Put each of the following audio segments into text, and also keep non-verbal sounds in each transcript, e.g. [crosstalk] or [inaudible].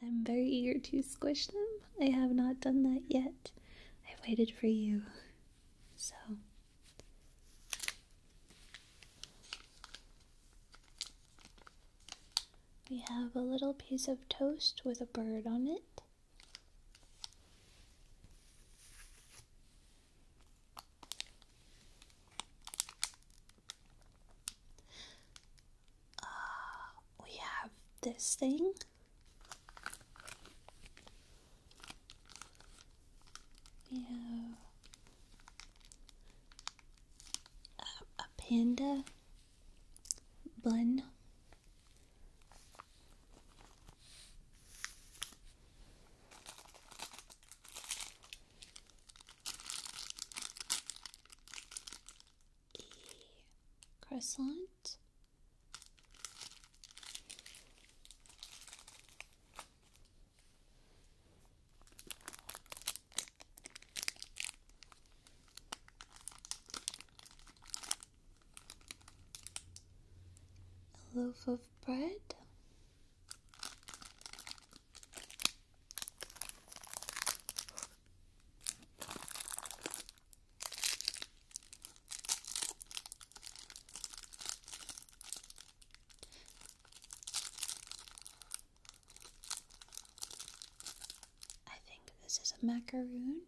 I'm very eager to squish them. I have not done that yet. I have waited for you. So. We have a little piece of toast with a bird on it. Uh, we have this thing. We have a, panda bun. A croissant. A loaf of bread. I think this is a macaroon.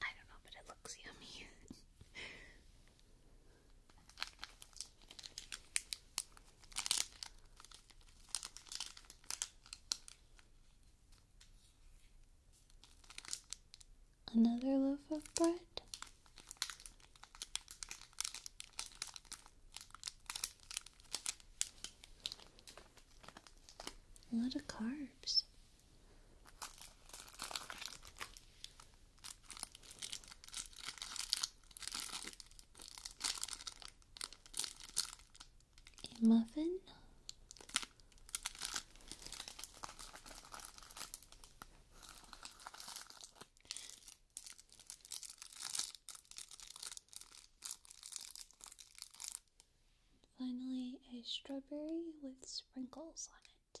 I don't know, but it looks yummy. [laughs] Another loaf of bread. A lot of carbs a muffin. Finally, a strawberry with sprinkles on it.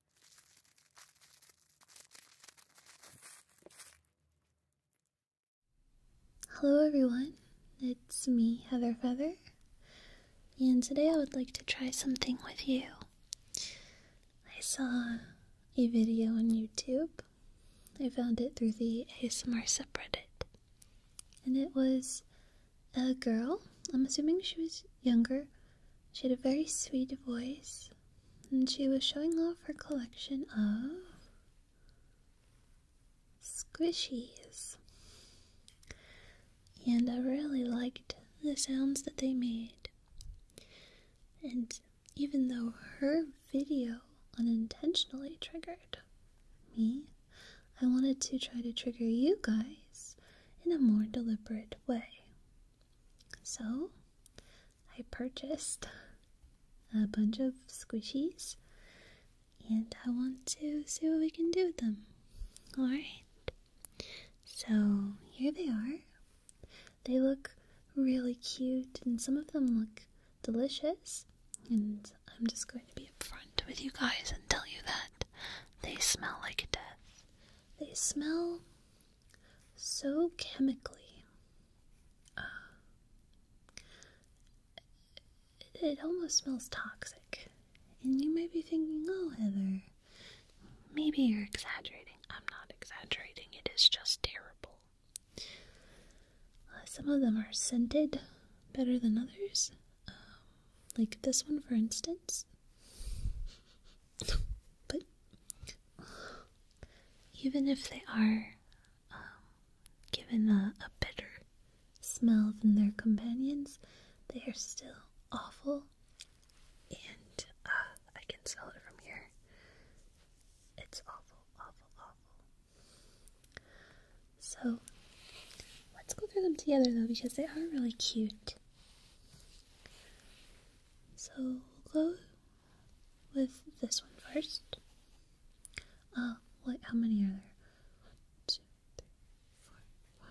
Hello everyone, it's me, Heather Feather, and today I would like to try something with you. I saw a video on YouTube, I found it through the ASMR subreddit, and it was a girl, I'm assuming she was younger, she had a very sweet voice, and she was showing off her collection of squishies. And I really liked the sounds that they made. And even though her video unintentionally triggered me, I wanted to try to trigger you guys in a more deliberate way. So, I purchased a bunch of squishies and I want to see what we can do with them. Alright, so here they are. They look really cute and some of them look delicious, and I'm just going to be upfront with you guys and tell you that they smell like death. They smell so chemically. Uh, it almost smells toxic. And you might be thinking, oh, Heather, maybe you're exaggerating. I'm not exaggerating, it is just terrible. Uh, some of them are scented better than others, um, like this one, for instance. [laughs] but even if they are um, given a, better smell than their companions, they are still awful. And uh, I can smell it from here. It's awful, awful, awful. So let's go through them together though, because they are really cute. So we'll go with this one first. Uh, what, how many are there? 1, 2, 3, 4, 5,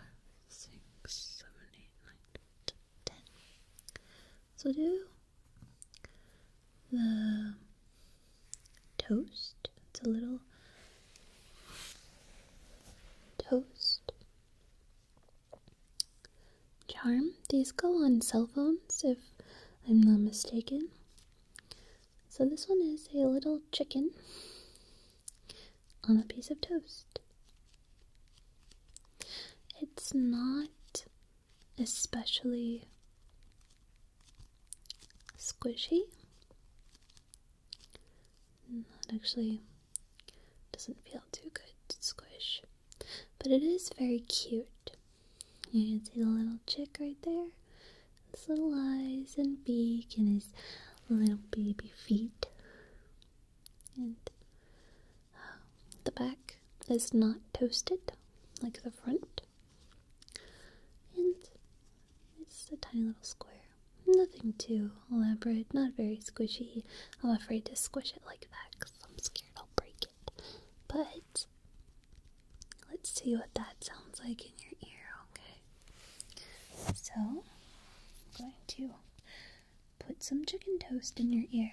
6, 7, 8, 9, 10. So do the toast. It's a little toast charm. These go on cell phones, if I'm not mistaken. So this one is a little chicken on a piece of toast. It's not especially squishy. That actually doesn't feel too good to squish. But it is very cute. You can see the little chick right there. His little eyes and beak and his little baby feet. And um, the back is not toasted like the front. And it's a tiny little square. Nothing too elaborate, not very squishy. I'm afraid to squish it like that because I'm scared I'll break it. But let's see what that sounds like in your ear, okay? So, I'm going to put some chicken toast in your ear.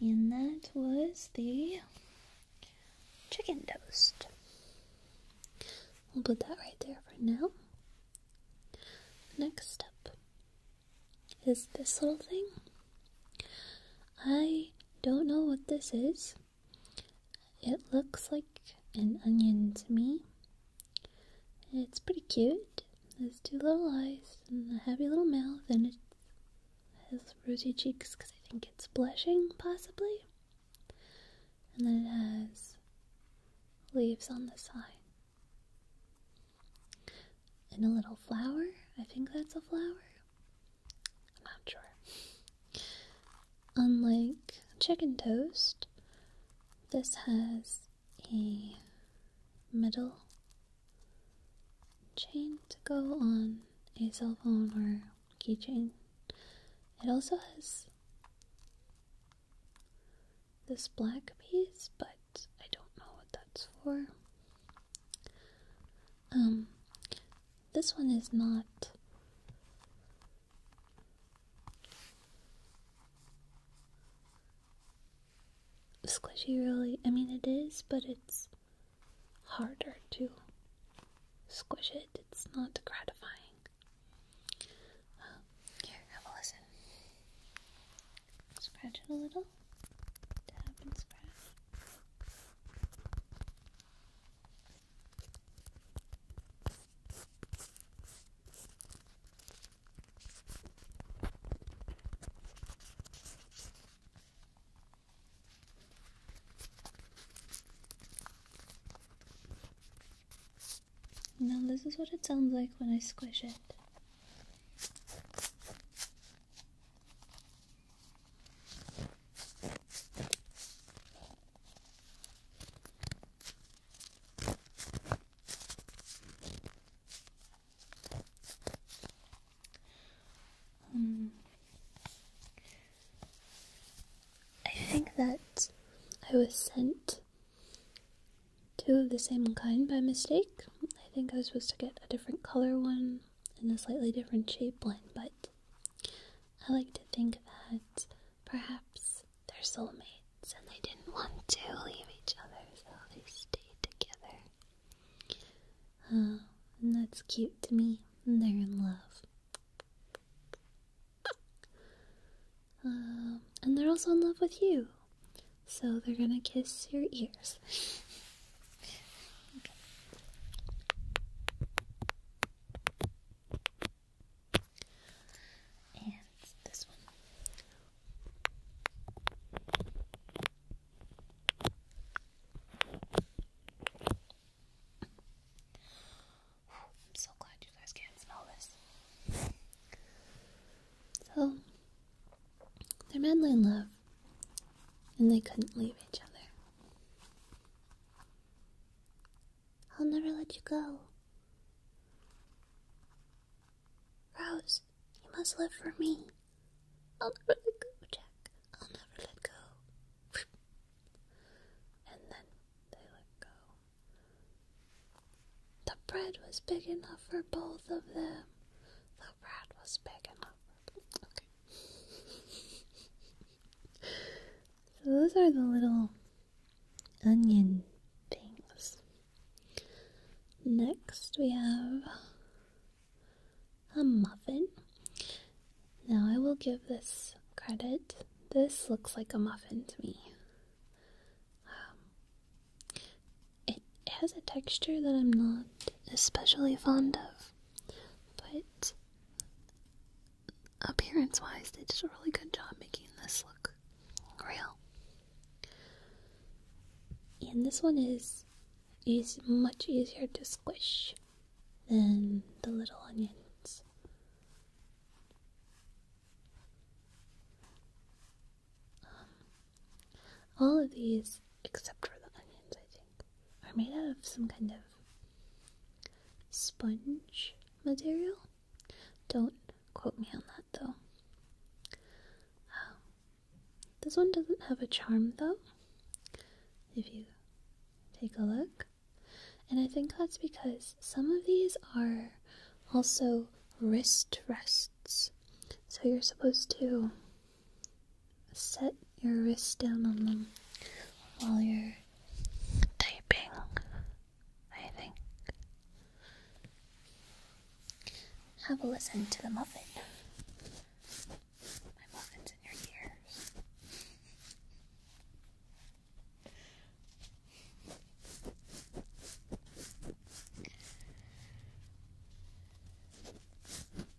And that was the chicken toast. We'll put that right there for now. Next up, is this little thing. I don't know what this is. It looks like an onion to me. It's pretty cute. It has two little eyes and a happy little mouth, and it has rosy cheeks because I think it's blushing, possibly. And then it has leaves on the side. And a little flower. I think that's a flower. I'm not sure. Unlike chicken toast, this has a middle chain to go on a cell phone or keychain. It also has this black piece, but I don't know what that's for. Um, this one is not. Squishy, really. I mean, it is, but it's harder to squish it. It's not gratifying. Um, here, have a listen. Scratch it a little. Now, this is what it sounds like when I squish it. Um, I think that I was sent two of the same kind by mistake. I think I was supposed to get a different color one in a slightly different shape line, but I like to think that perhaps they're soulmates and they didn't want to leave each other, so they stayed together. Oh, and that's cute to me. And they're in love. Um, and they're also in love with you. So they're gonna kiss your ears. [laughs] And this one. I'm so glad you guys can't smell this. So, they're madly in love and they couldn't leave each other. I'll never let you go. Rose, you must live for me. I'll never let go, Jack. I'll never let go. [laughs] and then they let go. The bread was big enough for both of them. The bread was big enough so those are the little onion things. Next we have a muffin. Now I will give this credit. This looks like a muffin to me. Um, it has a texture that I'm not especially fond of. But appearance wise, they did a really good job making this look real. And this one is is much easier to squish than the little onions. Um, all of these, except for the onions, I think, are made out of some kind of sponge material. Don't quote me on that though. Um, this one doesn't have a charm though, if you take a look. And I think that's because some of these are also wrist rests. So you're supposed to set your wrist down on them while you're typing, I think. Have a listen to the muffin. My muffin's in your ears.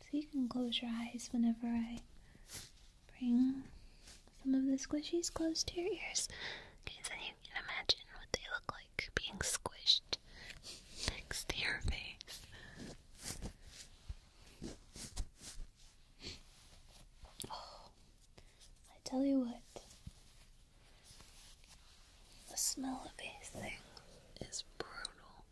So you can close your eyes whenever I bring some of the squishies close to your ears. Okay, so you can imagine what they look like being squished next to your face. Oh, I tell you what, the smell of these thing is brutal.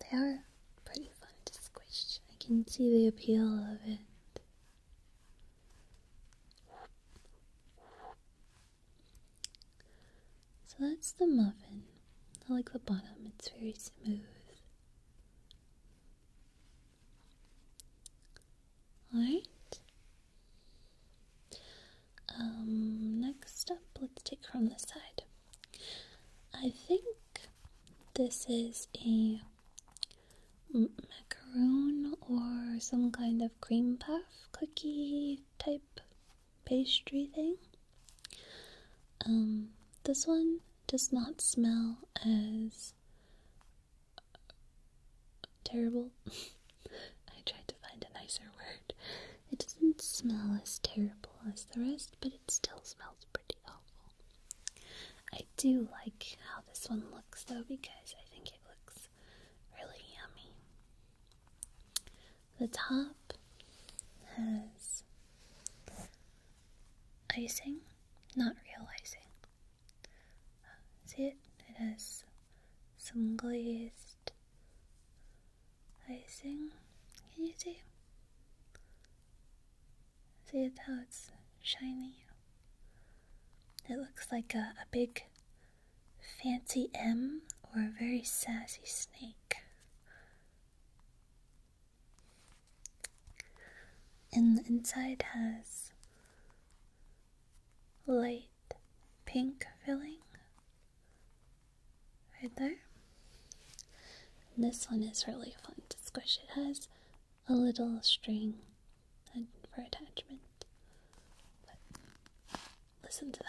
They are pretty fun to squish. I can see the appeal of it. So that's the muffin. I like the bottom, it's very smooth. Alright. Um, next up, let's take from the side. I think this is a macaroon or some kind of cream puff cookie type pastry thing. Um, this one does not smell as terrible [laughs] I tried to find a nicer word. It doesn't smell as terrible as the rest, but it still smells pretty awful. I do like how this one looks though because I think it looks really yummy. The top has icing, not real icing. See it? It has some glazed icing. Can you see? See how it's shiny? It looks like a, a big fancy M or a very sassy snake. And the inside has light pink filling Right there. And this one is really fun to squish. It has a little string for attachment. listen to that.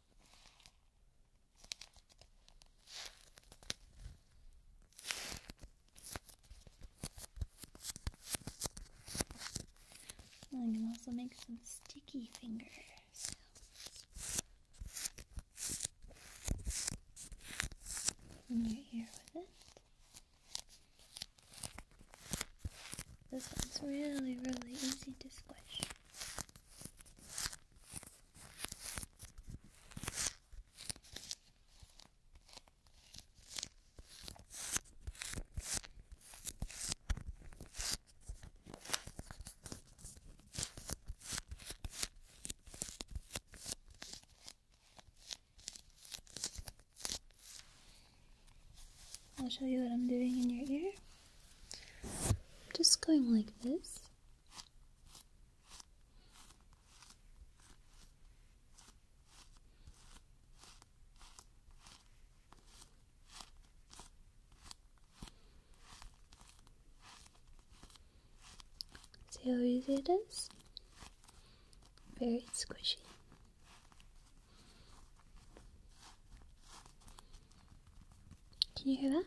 I can also make some sticky fingers. your ear with it. This one's really, really easy to squish. I'll show you what I'm doing in your ear. Just going like this. See how easy it is? Very squishy. Can you hear that?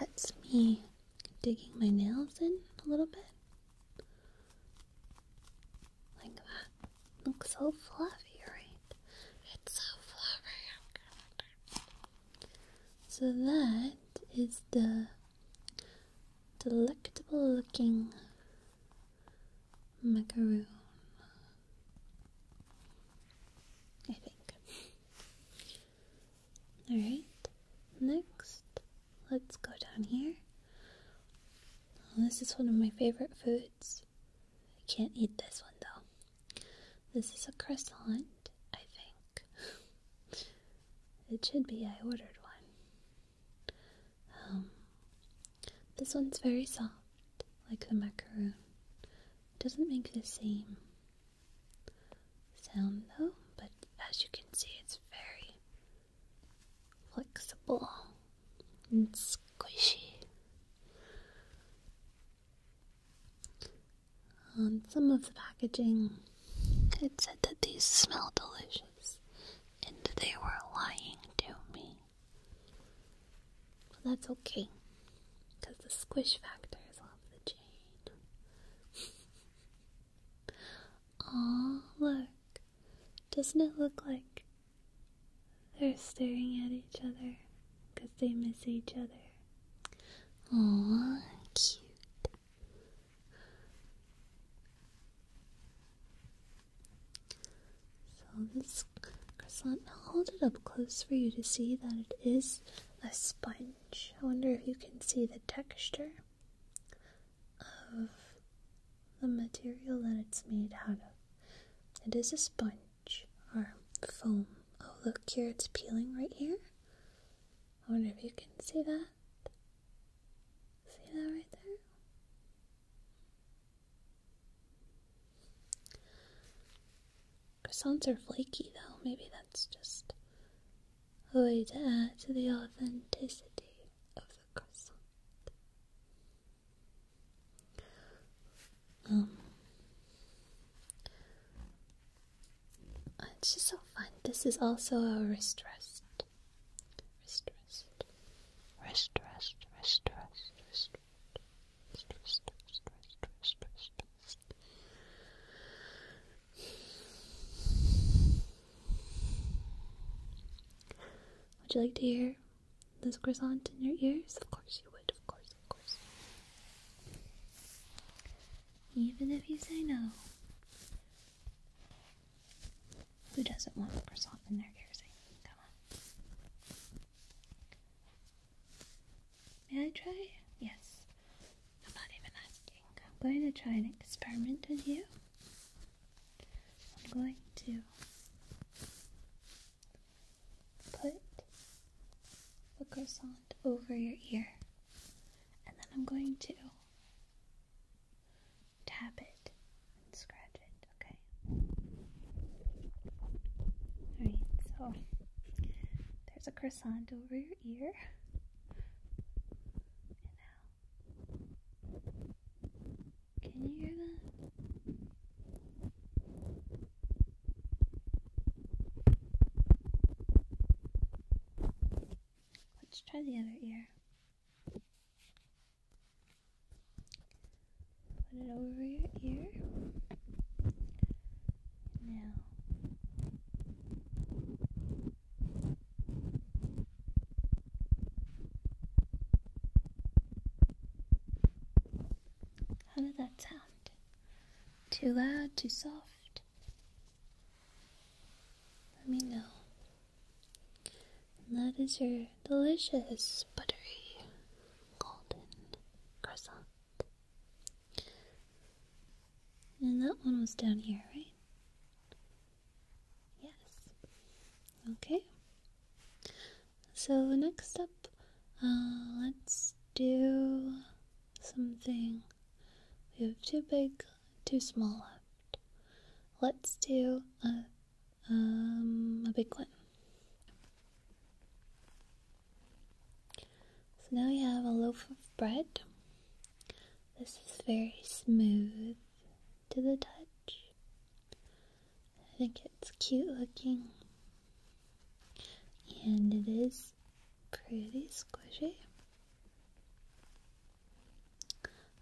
That's me digging my nails in a little bit. Like that. Looks so fluffy, right? It's so fluffy. So that is the delectable looking macaroon. I think. Alright, next, let's go down here this is one of my favorite foods. I can't eat this one though. This is a croissant, I think. it should be, I ordered one. Um, this one's very soft, like the macaroon. doesn't make the same sound though, but as you can see, it's very flexible and squishy. On some of the packaging, it said that these smell delicious and they were lying to me. But that's okay, because the squish factors of the chain. [laughs] Aw, look. Doesn't it look like they're staring at each other because they miss each other? Aww, cute. So this croissant, hold it up close for you to see that it is a sponge. I wonder if you can see the texture of the material that it's made out of. It is a sponge or foam. Oh, look here, it's peeling right here. I wonder if you can see that. See that right there? Croissants are flaky though. Maybe that's just a way to add to the authenticity of the croissant. Um, it's just so fun. This is also a wrist rest. Wrist rest. Wrist rest. Wrist rest. Wrist rest. Wrist rest. Wrist rest. Wrist rest. Would you like to hear this croissant in your ears? Of course you would, of course, of course. Even if you say no. Who doesn't want a croissant in their ears? Come on. May I try? Yes. I'm not even asking. I'm going to try an experiment with you. I'm going to put a croissant over your ear, and then I'm going to tap it and scratch it, okay? Alright, so there's a croissant over your ear, and now can you hear that? Let's try the other ear. Put it over your ear. Now. How did that sound? Too loud, too soft? Let me know. And that is your delicious, buttery, golden croissant. And that one was down here, right? Yes. Okay. So next up, uh, let's do something. We have too big, too small left. Let's do a um, a big one. So now we have a loaf of bread. This is very smooth to the touch. I think it's cute looking. And it is pretty squishy.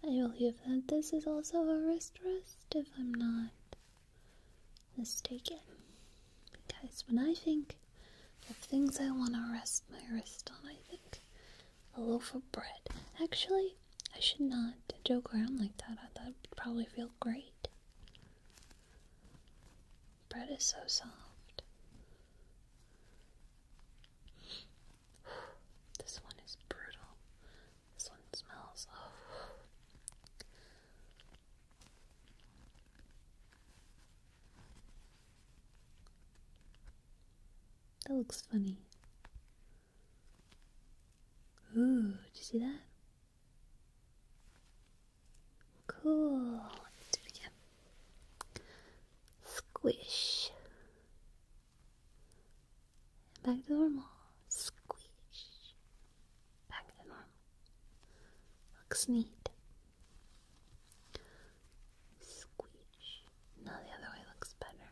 I believe that this is also a wrist rest, if I'm not mistaken. Because when I think of things I want to rest my wrist on, I think a loaf of bread. Actually, I should not joke around like that. I thought it would probably feel great. Bread is so soft. [sighs] This one is brutal. This one smells. Oh. [sighs] That looks funny. Ooh, did you see that? Cool. do it again. Squish. Back to normal. Squish. Back to normal. Looks neat. Squish. Now the other way looks better.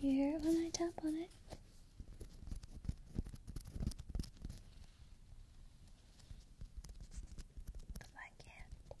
Can you hear it when I tap on it? Cause I can't.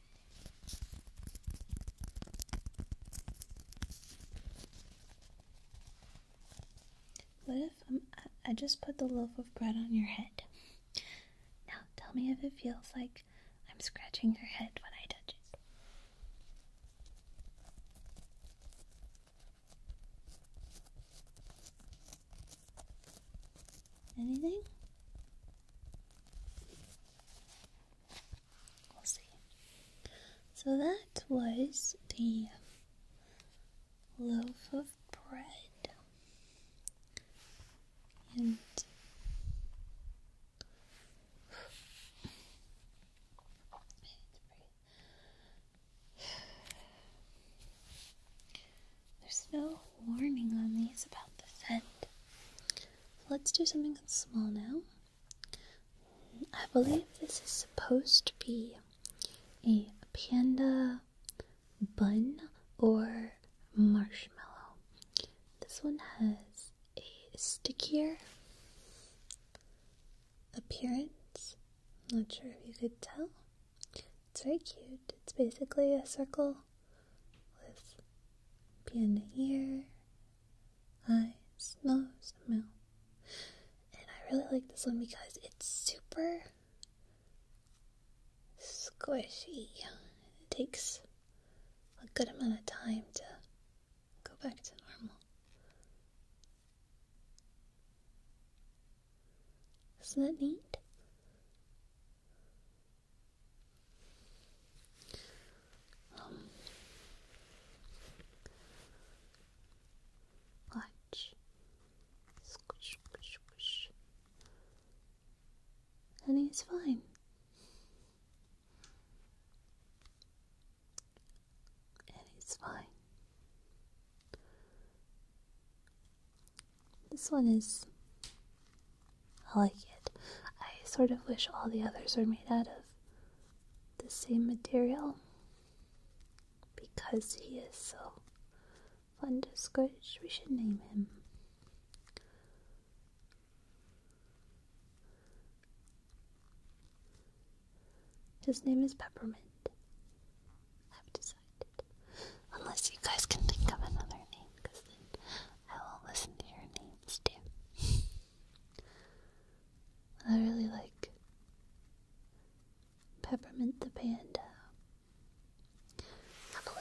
What if um, i just put the loaf of bread on your head? Now tell me if it feels like I'm scratching your head when I touch it. Anything? So that was the loaf of bread, and [sighs] there's no warning on these about the scent. Let's do something small now. I believe this is supposed to be a panda bun or marshmallow. This one has a stickier appearance. not sure if you could tell. It's very cute. It's basically a circle with beyond here, ear, eyes, nose, and mouth. And I really like this one because it's super squishy. It takes a good amount of time to go back to normal. Isn't that neat? Um, watch. And he's fine. And he's fine. This one is. I like it. I sort of wish all the others were made out of the same material because he is so fun to squish. We should name him. His name is Peppermint. I've decided. Unless you guys can think of another name, because then I will listen to your names too. [laughs] I really like Peppermint the Panda. Have a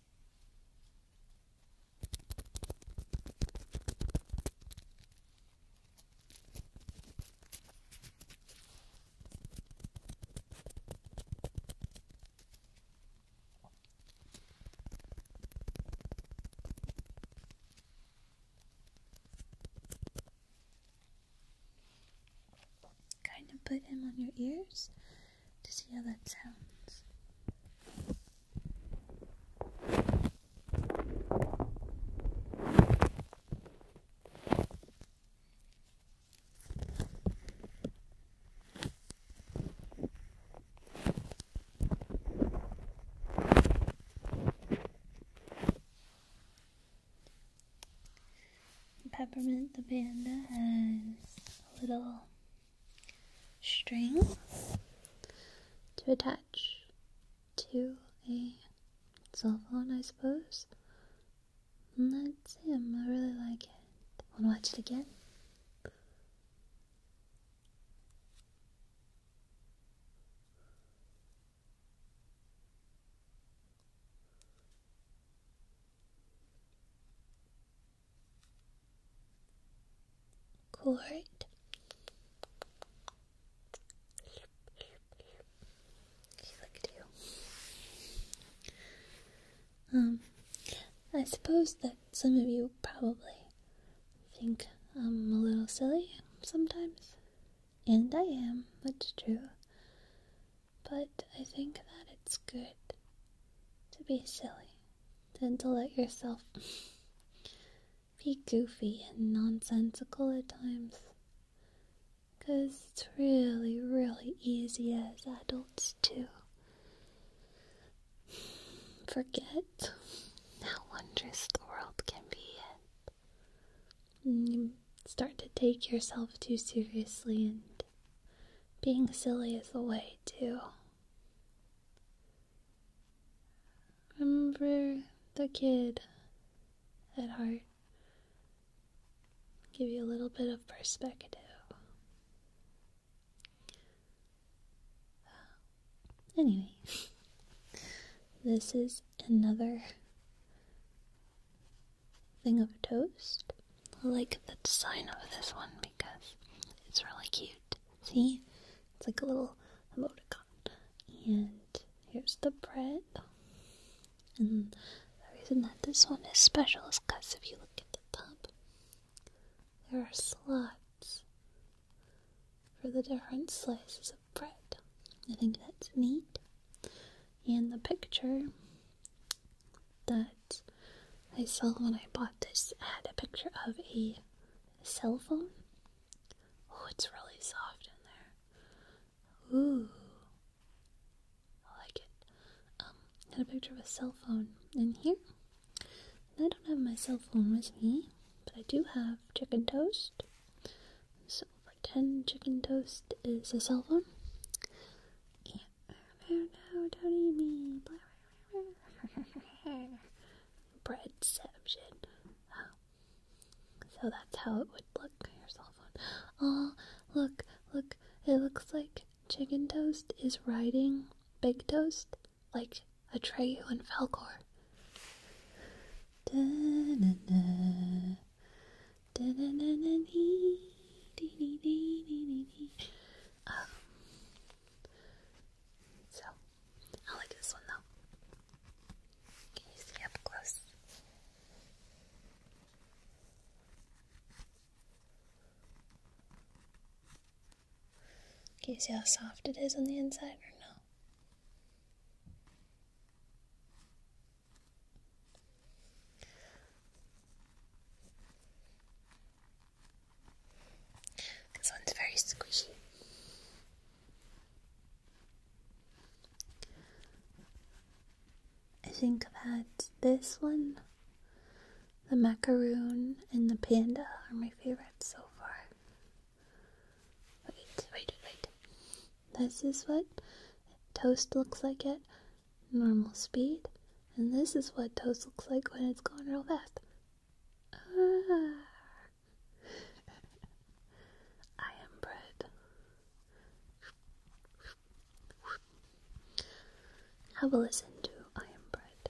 Kind of put him on your ears to see how that sounds. Peppermint the Panda has a little string to attach to a cell phone, I suppose. And that's him. I really like it. Wanna watch it again? Cool, right? She look at you. Um, I suppose that some of you probably think I'm a little silly sometimes, and I am, that's true. But I think that it's good to be silly tend to let yourself be goofy and nonsensical at times. Because it's really, really easy as adults to forget how wondrous the world can be. And start to take yourself too seriously, and being silly is the way to Remember the kid at heart. Give you a little bit of perspective. Anyway, this is another thing of toast. I like the design of this one because it's really cute. See? It's like a little emoticon. And here's the bread. And the reason that this one is special is because if you look at the top, there are slots for the different slices of bread. I think that's neat. And the picture, the I saw when I bought this had a picture of a cell phone. Oh, it's really soft in there. Ooh, I like it. Um, had a picture of a cell phone in here. I don't have my cell phone with me, but I do have chicken toast. So, pretend chicken toast is a cell phone, don't eat [laughs] me. Breadception. Oh. So that's how it would look on your cell phone. Oh, look, look. It looks like Chicken Toast is riding Big Toast like Atreyu and Falcor. So, I like this one though. Can you see up close? Can you see how soft it is on the inside or no? This one's very squishy. I think I've had this one, the macaroon, and the panda are my favorites so far. Wait, wait, wait. This is what toast looks like at normal speed. And this is what toast looks like when it's going real fast. Ah. I am bread. Have a listen to I Am Bread.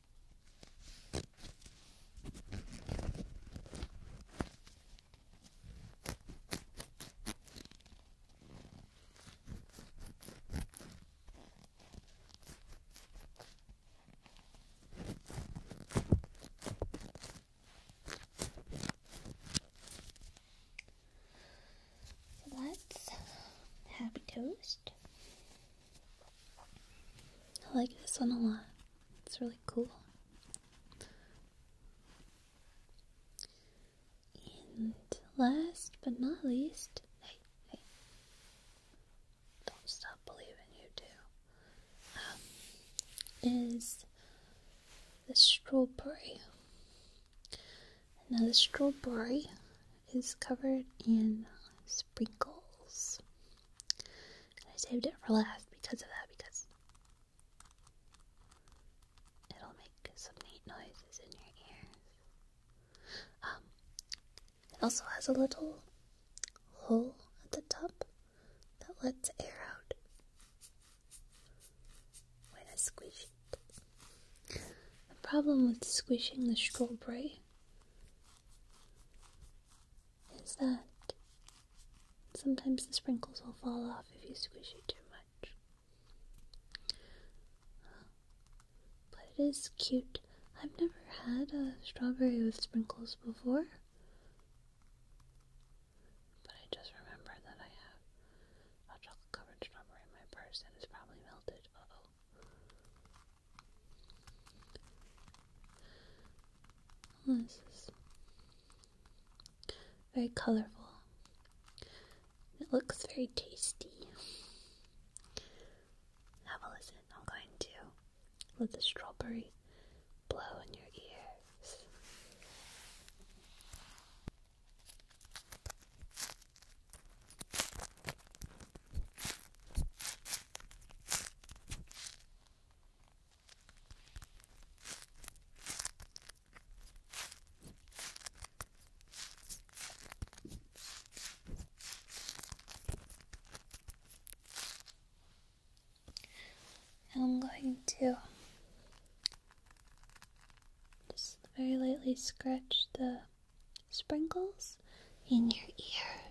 So happy toast. I like this one a lot. It's really cool. And last but not least, don't stop believing you do, um, is the strawberry. Now, the strawberry is covered in sprinkles. And I saved it for last because of that, because it'll make some neat noises in your ears. Um, it also has a little hole at the top that lets air out when I squish it. The problem with squishing the strawberry is that sometimes the sprinkles will fall off if you squish it too much. But it is cute. I've never had a strawberry with sprinkles before. But I just remember that I have a chocolate covered strawberry in my purse and it's probably melted. oh this is very colorful. It looks very tasty. Have a listen. I'm going to let the strawberry blow in your ears. I'm going to just very lightly scratch the sprinkles in your ear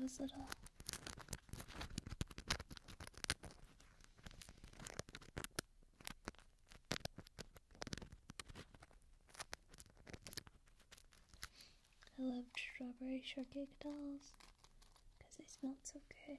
those little I loved strawberry shortcake dolls because they smelled so good.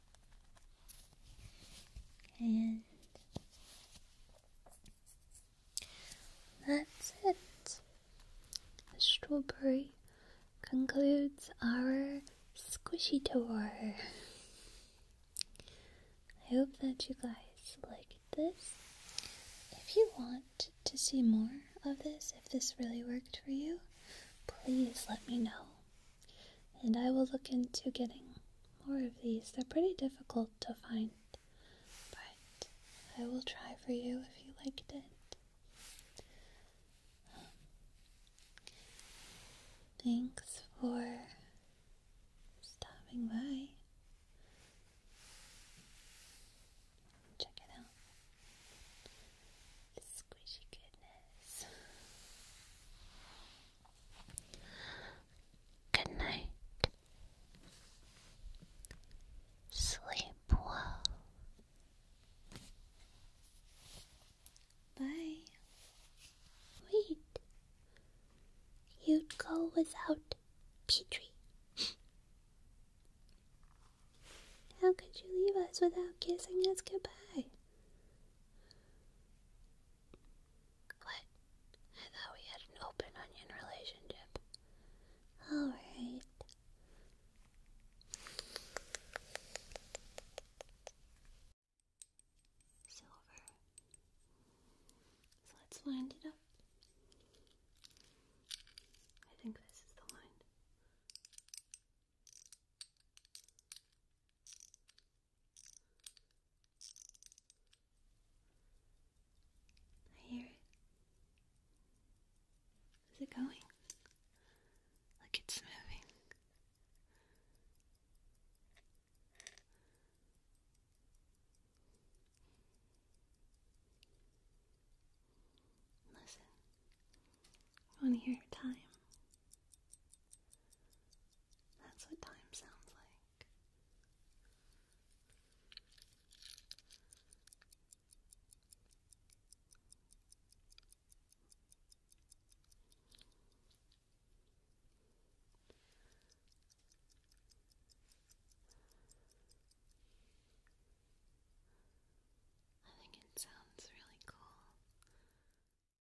And that's it. strawberry concludes our squishy tour. I hope that you guys liked this. If you want to see more of this, if this really worked for you, please let me know and I will look into getting more of these. They're pretty difficult to find, but I will try for you if you liked it. thanks for stopping by. Check it out. Squishy goodness. Good night. Sleep well. Bye. Wait. You'd go without Petrie. How could you leave us without kissing us goodbye? What? I thought we had an open onion relationship. Alright. Silver. So let's wind it up. I think this is the wind. I hear it. Is it going? Look, it's moving. Listen, want to hear your time. That's what time sounds like. I think it sounds really cool.